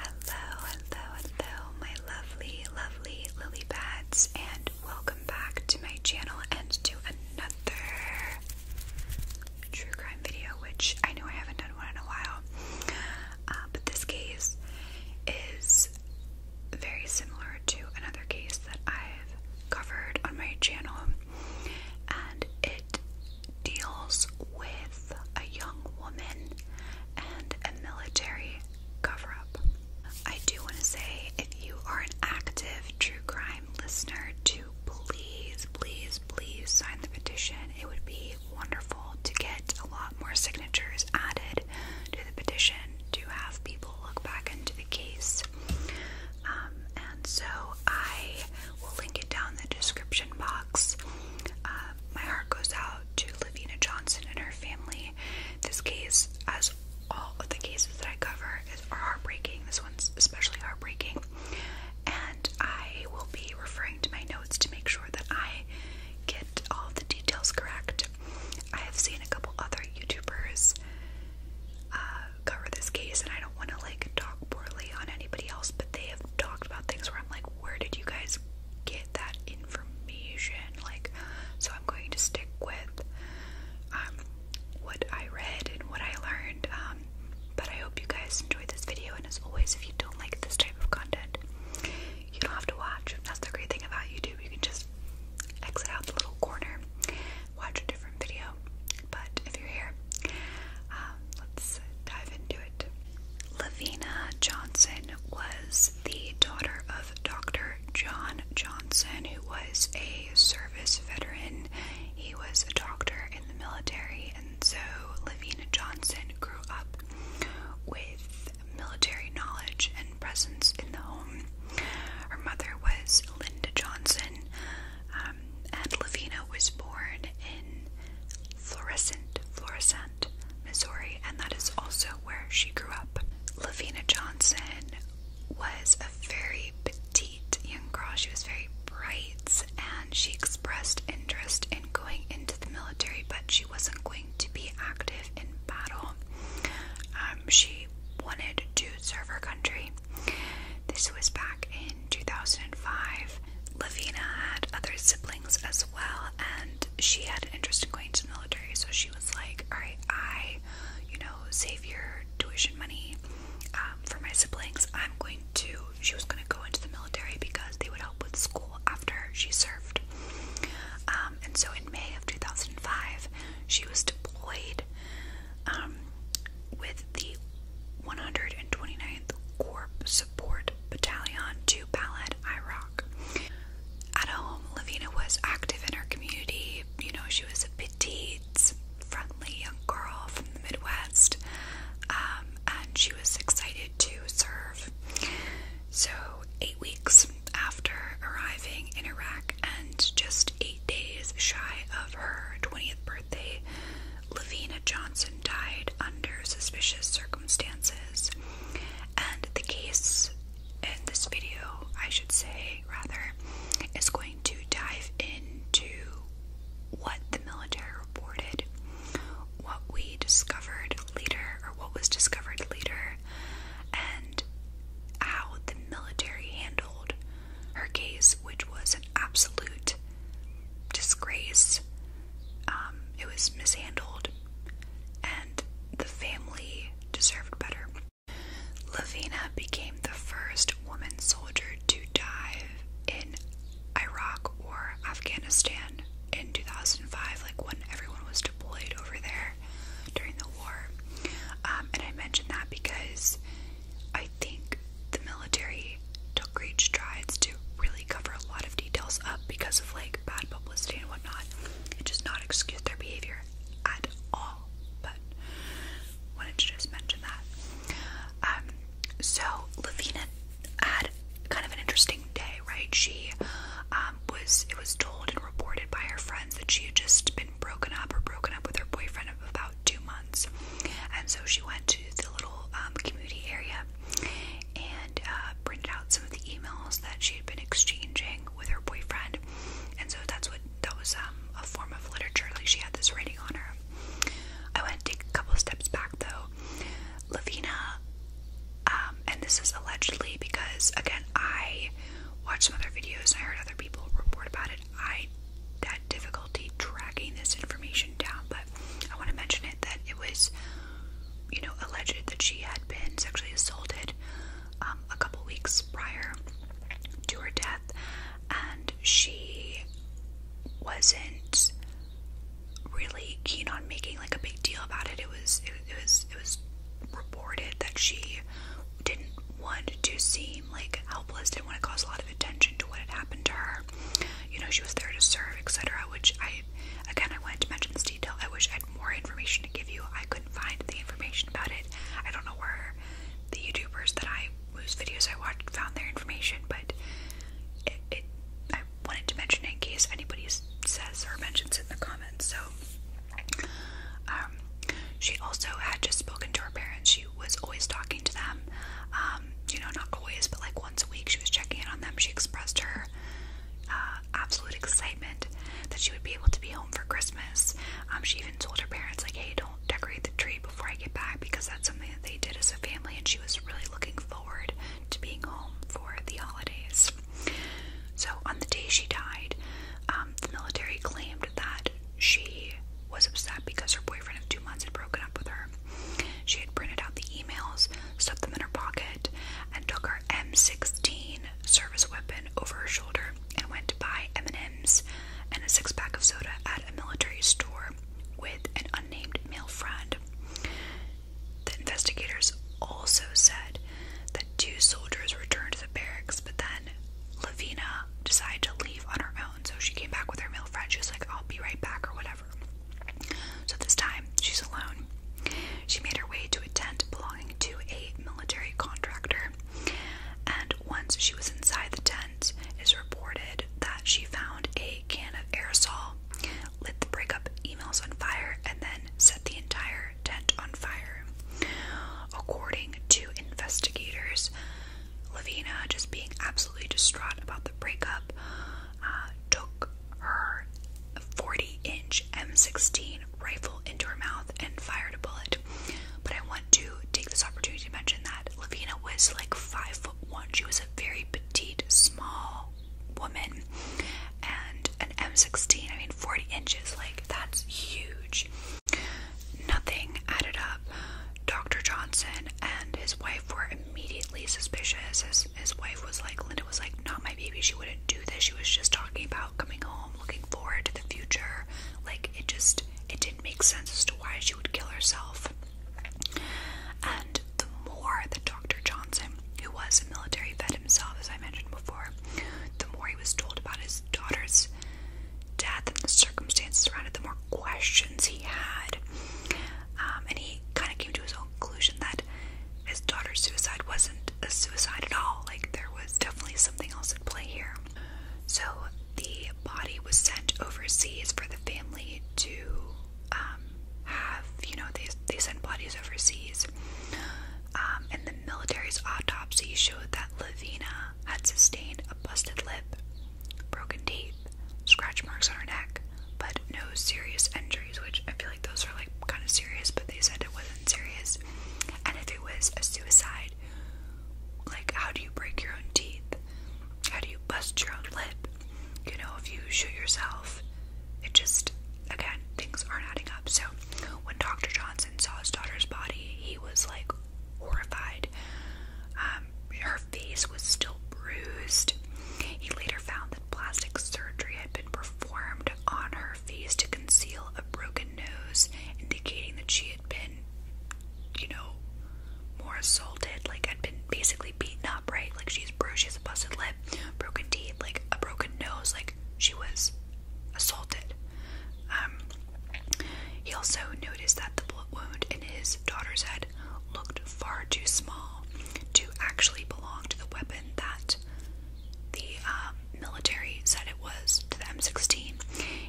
Hello, hello, hello, my lovely, lovely lily pads, and welcome back to my channel and to another true crime video, which I know I haven't done one in a while. Uh, but this case is very similar to another case that I've covered on my channel, and it deals with a young woman and a military cover up. I do want to say if you are an active true crime listener, to please, please, please sign the petition. It would be wonderful to get a lot more signatures added to the petition to have people look back into the case. Um, and so I will link it down in the description box. Uh, my heart goes out to Lavina Johnson and her family. This case, as all of the cases that I cover, is, heartbreaking. This one's especially heartbreaking. And I will be referring to my notes to make sure that I get all the details correct. I have seen a couple other YouTubers uh, cover this case, and I don't want to like talk poorly on anybody else, but they have talked about things where I'm like, where did you guys get that information. Like, so I'm going to stick with um, what I read and what I learned. Um, but I hope you guys enjoyed this video. And as always, if you don't like this type of content, you don't have to watch. That's the great thing about YouTube. You can just exit out the little corner, watch a different video. But if you're here, um, let's dive into it. Hollywood. Lavina Johnson was the daughter of Dr. John Johnson, who was a service veteran. He was a doctor in the military, and so Lavina Johnson grew up with military knowledge and presence in the home. Her mother was Linda Johnson, um, and Lavina was born in Florissant, Florissant, Missouri, and that is also where she grew up. Lavina Johnson was a very petite young girl. She was very bright and she expressed interest in going into the military, but she wasn't going to be active in battle. Um, she wanted to serve her country. This was back in in 2005. Lavina had other siblings as well, and she had an interest in going to the military, so she was like, All right, I, you know, save your tuition money um, for my siblings. I'm going to, she was going to go into the military because they would help with school after she served. Um, and so in May of 2005, she was deployed um, with the 129th Corps. Support Battalion to Balad, Iraq. At home, Lavina was active in her community. You know, she was a petite, friendly young girl from the Midwest, um, and she was excited to serve. So, eight weeks after arriving in Iraq and just eight days shy of her 20th birthday, Lavina Johnson died under suspicious circumstances, and the case in this video, I should say, rather, is going to dive into what the military reported, what we discovered later, or what was discovered later, and how the military handled her case, which was an absolute disgrace. Um, it was mishandled, and the family deserved better. Lavina became the first woman soldier to die in Iraq or Afghanistan in 2005, like when everyone was deployed over there during the war. Um, and I mention that because I think the military took great strides to really cover a lot of details up because of like bad publicity and whatnot. It does not excuse their behavior at all, but wanted to just mention that. Um, so Lavina had kind of an interesting day, right? She um, was it was told and reported by her friends that she had just been broken up or broken up with her boyfriend about two months. And so she went to the little um, community area and uh, printed out some of the emails that she had been exchanging with her boyfriend. And so that's what that was um, a form of literature. Like she had this writing on her. I went take a couple steps back though. Lavina, um, and this is allegedly because again I watched some other videos and I heard other people report about it. I had difficulty tracking this information down, but I want to mention it that it was, you know, alleged that she had been sexually assaulted um, a couple weeks prior to her death, and she wasn't really keen on making like a big deal about it. It was, it, was, it was reported that she didn't want to see seemed like helpless, didn't want to cause a lot of attention to what had happened to her. You know, she was there to serve, etc. Which I, again, I wanted to mention this detail. I wish I had more information to give you. I couldn't find the information about it. I don't know where the YouTubers that I whose videos I watched found their information, but it, it I wanted to mention it in case anybody says or mentions it in the comments. So, um, she also had just spoken to her parents was always talking to them. Um, you know, not always, but like once a week, she was checking in on them. She expressed her uh, absolute excitement that she would be able to be home for Christmas. Um, she even told her parents, like, "Hey, don't decorate the tree before I get back," because that's something that they did as a family, and she was really looking forward to being home for the holidays. So on the day she died, um, the military claimed that she was upset because her boyfriend of two months had broken up with her. She had printed out the emails, stuffed them in her pocket, and took her M16 service weapon over her shoulder and went to buy M&Ms and a six-pack of soda at a military store with an unnamed male friend. The investigators also said that two soldiers returned to the barracks, but then Lavina decided to leave on her own so she came back with her male friend. She was like, I'll be right back or whatever. So this time, she's alone. She made her way to a tent belonging to a military contractor. And once she was inside the tent, it's reported that she found a can of aerosol, lit the breakup emails on fire, and then set the entire tent on fire. According to investigators, Lavina, just being absolutely distraught about the breakup, uh, took her 40 inch M16 rifle into her mouth and fired a bullet. But I want to take this opportunity to mention that Lavina was like five foot one. She was a very petite, small woman, and an M16, I mean, 40 inches, like that's huge. Nothing added up. Dr. Johnson and his wife were immediately suspicious. His, his wife was like, Linda was like, not my baby. She wouldn't do this. She was just talking about coming home, looking forward to the future. Like, it just, it didn't make sense as to why she would kill herself. And the more that Dr. Johnson, who was a military vet himself, as I mentioned before, the more he was told about his daughter's death and the circumstances around it, the more questions he had. Um, and he kind of came to his own conclusion that his daughter's suicide wasn't a suicide at all. Like, there was definitely something else at play here. So, the body was sent overseas for the family to um, have, you know, they, they send bodies overseas. Um, and the military's autopsy showed that Lavina had sustained a busted lip broken teeth, scratch marks on her neck, but no serious injuries, which I feel like those are like kind of serious, but they said it wasn't serious. And if it was a suicide, like how do you break your own teeth? How do you bust your own lip? You know, if you shoot yourself, it just again, things aren't adding up. So when Dr. Johnson saw his daughter's body, he was like, horrified. Um, her face was still bruised. He later found that plastic surgery had been performed on her face to conceal a broken nose, indicating that she had been, you know, more assaulted, like had been basically beaten up, right? Like she's bruised, she has a busted lip, broken teeth, like a broken nose, like she was assaulted. Um, he also noticed that the bullet wound in his daughter's head looked far too small to actually belong to the weapon that the um, military said it was the M16.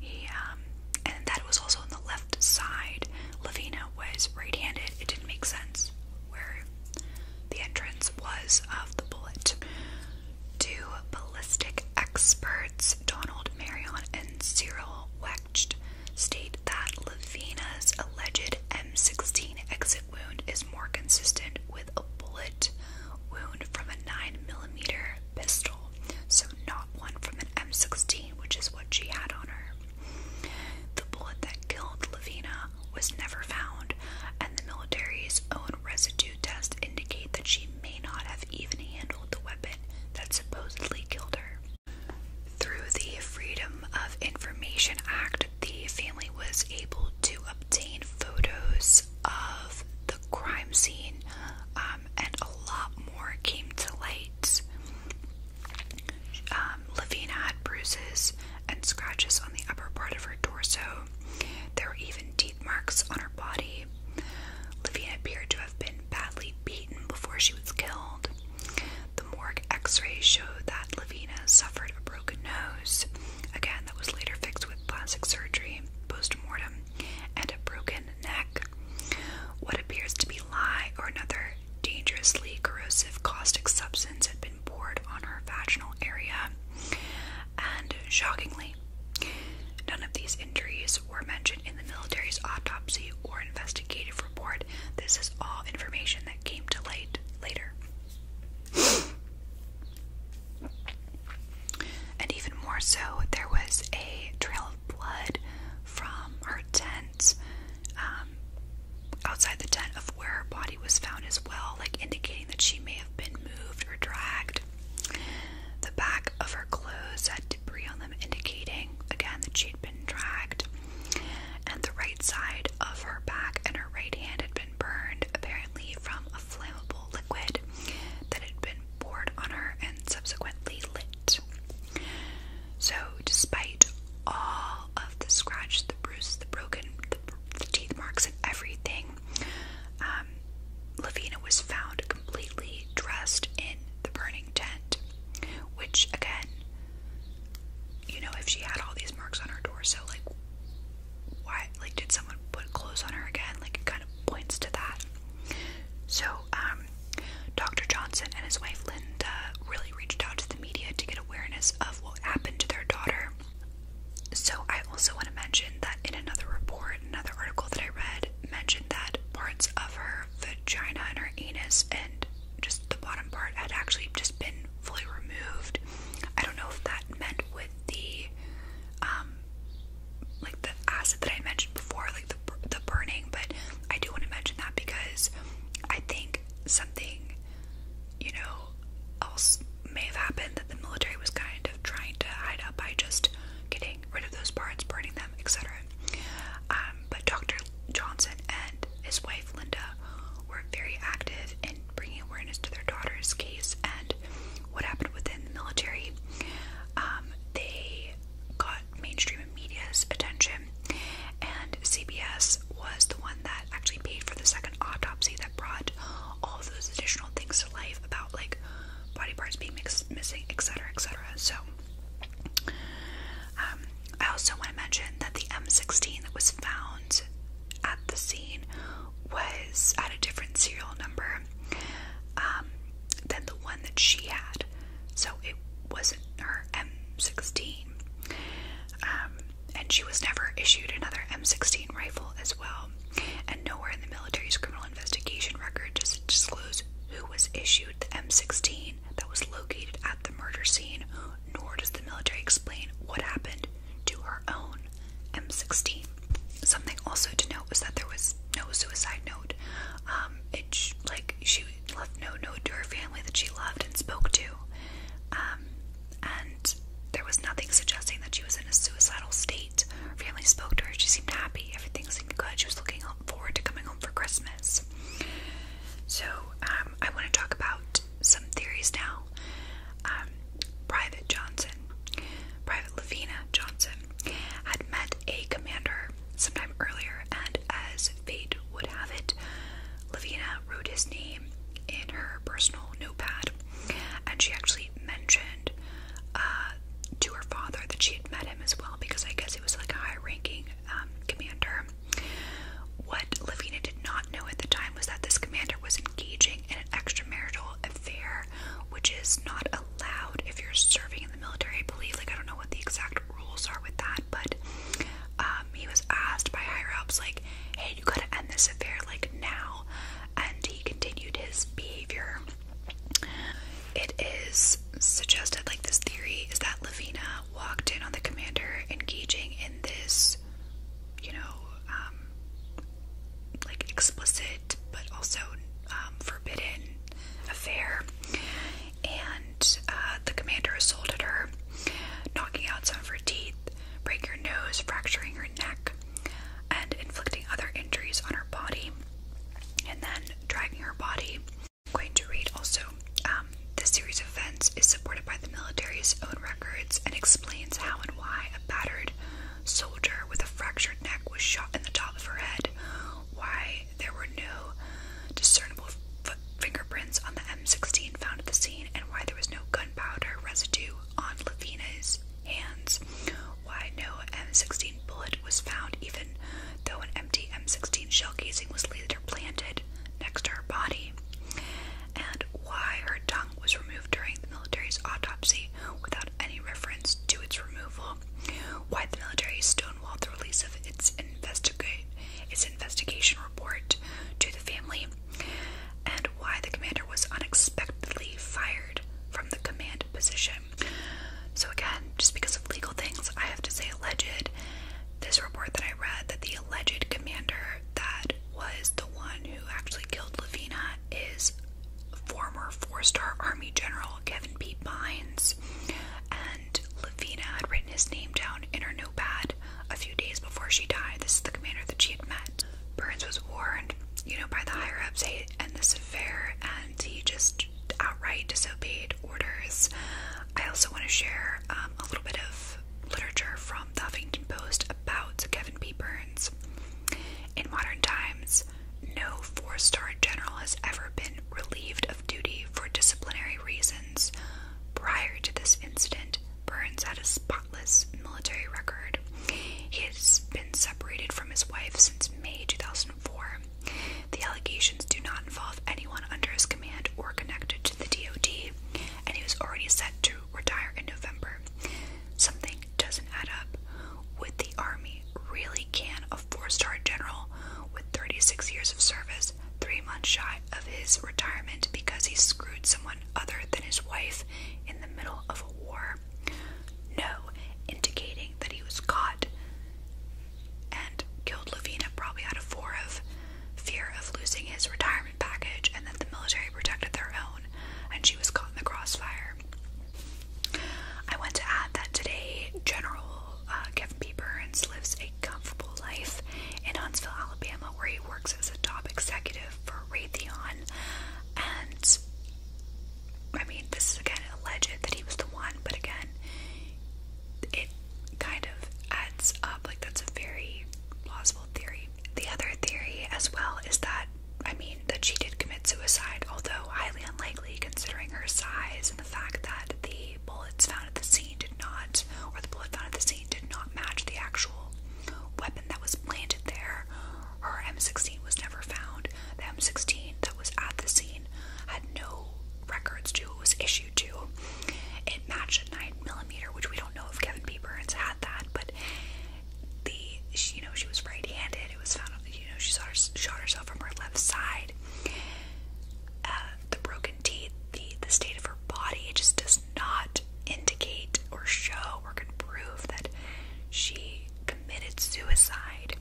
He, um, and that was also on the left side. Lavina was right-handed. It didn't make sense where the entrance was of the bullet. To ballistic experts Donald Marion and Cyril Wecht state that Lavina's alleged M16 exit wound is more consistent with a bullet wound from a 9mm pistol, so not one from an M16, which is what she had on her. The bullet that killed Lavina was never found, and the military's own residue test indicate that she may not have even handled the weapon that supposedly killed her. Through the Freedom of Information Act, the family was able to obtain photos of the crime scene, um, and a lot more came to light. Um, Levina had bruises and scratches on the upper part of her torso. There were even marks on her body. Livia appeared to have been badly beaten before she was killed. The morgue x rays showed that Lavina suffered a broken nose, again, that was later fixed with plastic surgery post mortem, and a broken neck. What appears to be lye or another dangerously corrosive caustic substance had been poured on her vaginal area, and shockingly, None of these injuries were mentioned in the military's autopsy or investigative report. This is all information that came to light later. and even more so, there was a trail of blood from her tent, um, outside the tent of where her body was found as well, like indicating that she may have been moved or dragged the back of her clothes had debris on them, indicating again that she'd been dragged. And the right side of her back and her right hand had been burned, apparently from a flammable liquid that had been poured on her and subsequently lit. So, despite all of the scratch, the bruise, the broken, the teeth marks, and everything, um, Lavina was found completely dressed in the burning tent, which, again, you know, if she had all these marks on her so like, why, like, did someone put clothes on her again? Like, it kind of points to that. So, um, Dr. Johnson and his wife Linda really reached out to the media to get awareness of what happened to their daughter. So I also want to mention that in another report, another article that I read mentioned that parts of her vagina and her anus and just the bottom part had actually just been fully removed. I don't know if that meant with the um like the acid that I mentioned before, like the the burning, but I do want to mention that because I think something you know else may have happened that the military was kind of trying to hide up by just getting rid of those parts, burning them, etc. Um, but Dr. Johnson and his wife Linda were very active in bringing awareness to their daughter's case and what happened within the military. Um, they got mainstream media's attention, and CBS was the one that actually paid for the second autopsy that brought all those additional things to life about like body parts being missing, etc., etc. So, um, I also want to mention that the M16 that was found at the scene was at a different serial number um, than the one that she had, so it wasn't her M16. Um, and she was never issued another M16 rifle as well and nowhere in the military's criminal investigation record does it disclose who was issued the M16 that was located at the murder scene, nor does the military explain what happened to her own M16. Something also to note was that there was no suicide note. Um, it like she left no note to her family that she loved and spoke to. Um, and there was nothing suggesting that she was in a suicidal state. Her family spoke to her. She seemed happy. Everything seemed good. She was looking forward to coming home for Christmas. So, um, I want to talk about some theories now. Um, Private Johnson, Private Lavina Johnson, had met a commander sometime earlier, and as fate would have it, Lavina wrote his name in her personal notepad, and she actually mentioned uh, to her father that she had met him as well because I guess he was like a high ranking um, commander. What Lavina did not know at the time was that this commander was engaging in an extramarital affair, which is not allowed if you're serving in the military, I believe. Like, I don't know what the exact rules are with that, but um, he was asked by higher ups, like, hey, you gotta end this affair, like, now and he continued his behavior. It is suggested, like this theory, is that Lavina walked in on the commander engaging in this, you know, um, like explicit but also um, forbidden affair, and uh, the commander assaulted her, knocking out some of her teeth, breaking her nose, fracturing her neck and inflicting other injuries on her body and then dragging her body. I'm going to read also. Um, this series of events is supported by the military's own records and explains how and why a battered soldier with a fractured neck was shot in the top of her head, why there were no discernible fingerprints on the M16 found at the scene, and why there was no gunpowder residue on Lavina's hands. Why no M16 bullet was found, even though an empty M16 shell casing was later planted next to her body, and why her tongue was removed during the military's autopsy without any reference to its removal, why the military stonewalled the release of its investigate its investigation report to the family, and why the commander was unexpectedly fired from the command position. So, again, just because of legal things, I have to say alleged. This report that I read that the alleged commander that was the one who actually killed Lavina is former four star Army General Kevin P. Bynes. And Lavina had written his name down in her notepad a few days before she died, this is the commander that she had met. Burns was warned, you know, by the higher ups and this affair, and he just outright disobeyed orders. I also want to share um, a little bit of literature from the Huffington Post about Kevin P. Burns. In modern times, no four star general has ever been relieved of duty for disciplinary reasons. Prior to this incident, Burns had a spotless military record. He has been separated from his wife since May 2004. The allegations do not involve anyone under his command or connected to the DoD, and he was already set to retire in November. Something doesn't add up. Would the Army really can a four-star general with 36 years of service, three months shy of his retirement because he screwed someone? other than his wife in the middle of a war. No, indicating that he was caught and killed Lavina probably out of fear of losing his retirement package and that the military protected their own, and she was caught in the crossfire. I want to add that today, General uh, Kevin P. Burns lives a comfortable life in Huntsville, Alabama, where he works as a top executive for Raytheon. And I mean, this is again alleged that he was the one, but again, it kind of adds up. Like, that's a very plausible theory. The other theory, as well, is that I mean, that she did commit suicide, although highly unlikely considering her size and the fact that the bullets found at the scene did not, or the bullet found at the scene did not match the actual weapon that was planted there. Her M16 was never found. The M16 that was at the scene had no records to it was issued to. It matched a 9mm, which we don't know if Kevin P. Burns had that, but the you know she was right-handed. It was found you know she shot, her, shot herself from her left side. Uh, the broken teeth, the the state of her body, it just does not not indicate or show or can prove that she committed suicide.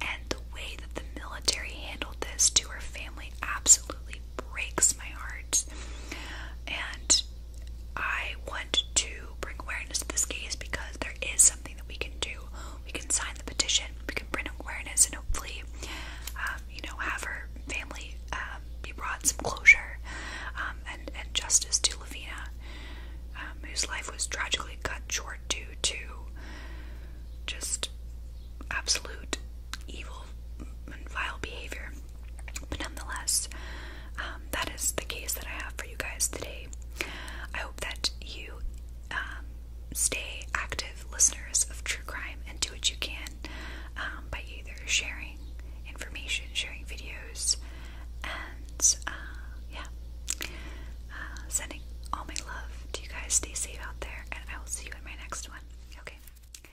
And the way that the military handled this to her family absolutely breaks my heart. And I want to bring awareness to this case because there is something that we can do. We can sign the petition, we can bring awareness, and hopefully, um, you know, have her family uh, um, brought some closure um, and, justice to Lavina, um, whose life was tragically cut short due to just absolute evil and vile behavior. But nonetheless, um, that is the case that I have for you guys today. I hope that you stay active listeners of true crime and do what you can um, by either sharing information, sharing videos, and uh, yeah, uh, sending all my love to you guys. Stay safe out there, and I will see you in my next one. Okay. Bye.